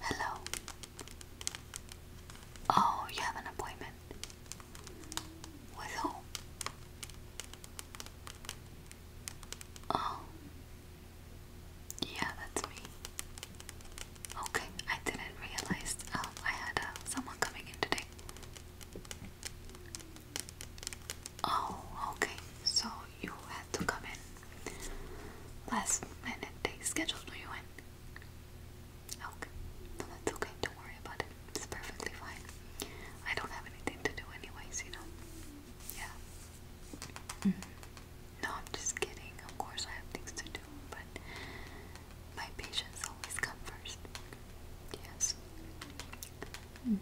Hello. Oh, you have an appointment. With who? Oh. Yeah, that's me. Okay, I didn't realize um, I had uh, someone coming in today. Oh, okay. So you had to come in last minute. They scheduled you in. Okay, that's okay. Don't worry about it. It's perfectly fine. I don't have anything to do, anyways. You know. Yeah. Mm-hmm. No, I'm just kidding. Of course, I have things to do, but my patients always come first. Yes. Hmm.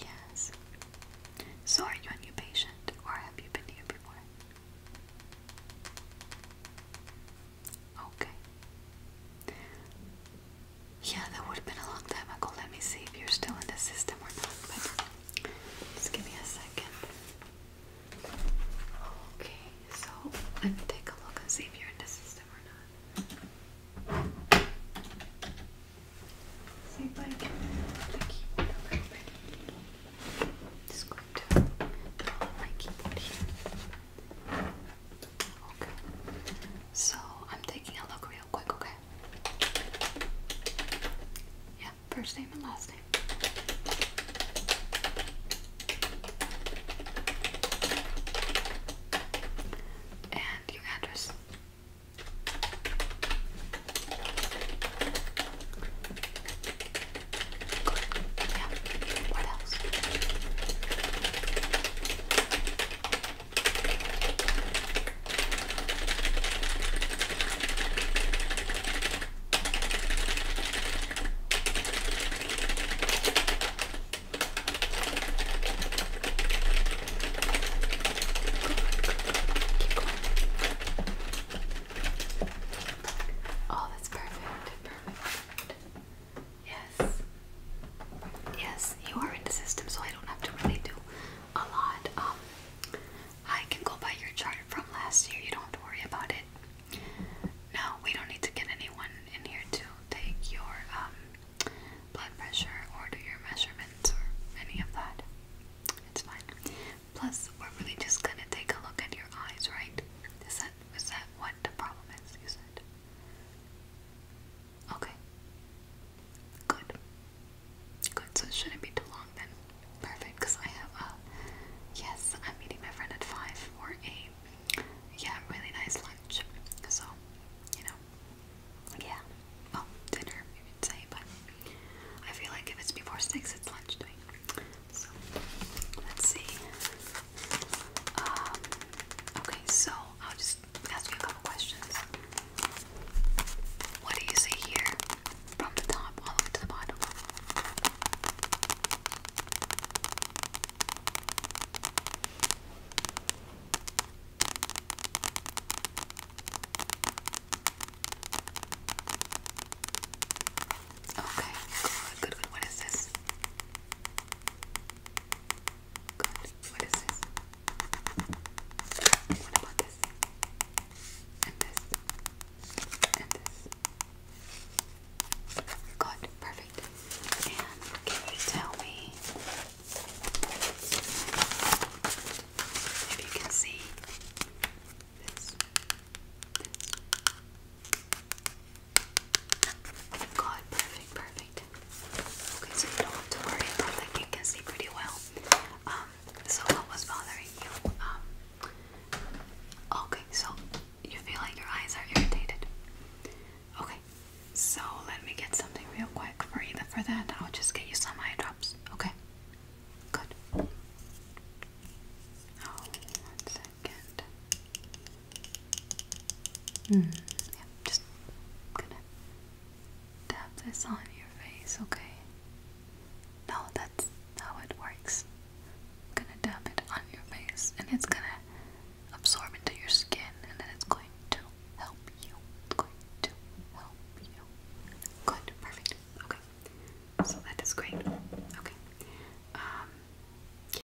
Yes. So, are you a new patient, or have you been here before? Okay. Yeah, that would have been a long time ago. Let me see if you're still in the system or not. But just give me a second. Okay, so let me take a look and see if you're in the system or not. See if I Just going to pull up my keyboard here. Okay. So I'm taking a look real quick, okay? Yeah, first name and last name. And your address. Yeah. What else? Oh, that's perfect. Perfect. Yes. Yes, you are in the system, so I don't have to really do a lot. Um, I can go by your chart from last year. You don't have to worry about it. No, we don't need to get anyone in here to take your um, blood pressure or do your measurements or any of that. It's fine. Plus, we're really just gonna take a look at your eyes, right? Is that is that what the problem is? You said. Okay. Good. Good, so it shouldn't be too long then. Perfect, because I have a. Uh, yes, I'm meeting my friend at 5 for a. Yeah, really nice lunch. So, you know. Yeah. Well, dinner, you could say, but I feel like if it's before 6, it's lunch time. So, let's see. Um, okay, so I'll just ask you a couple questions. What do you see here? From the top all the way to the bottom. Okay, good, good, good. What is this? Good. What is this? What about this? And this? And this? Good. Perfect. And can you tell me if you can see This? God, perfect, perfect. Okay, so you don't have to worry about that. You can see pretty well. Um, so what was bothering you? Um, okay, so you feel like your eyes are irritated. Okay, so let me get something real quick for either for that. I'll just get you some eye drops. Okay, good. Oh, one second. Hmm, just gonna dab this on your face, okay? No, that's how it works. gonna dab it on your face and it's gonna absorb into your skin and then it's going to help you. going to help you. Good, perfect. Okay. So that is great. Okay. Um,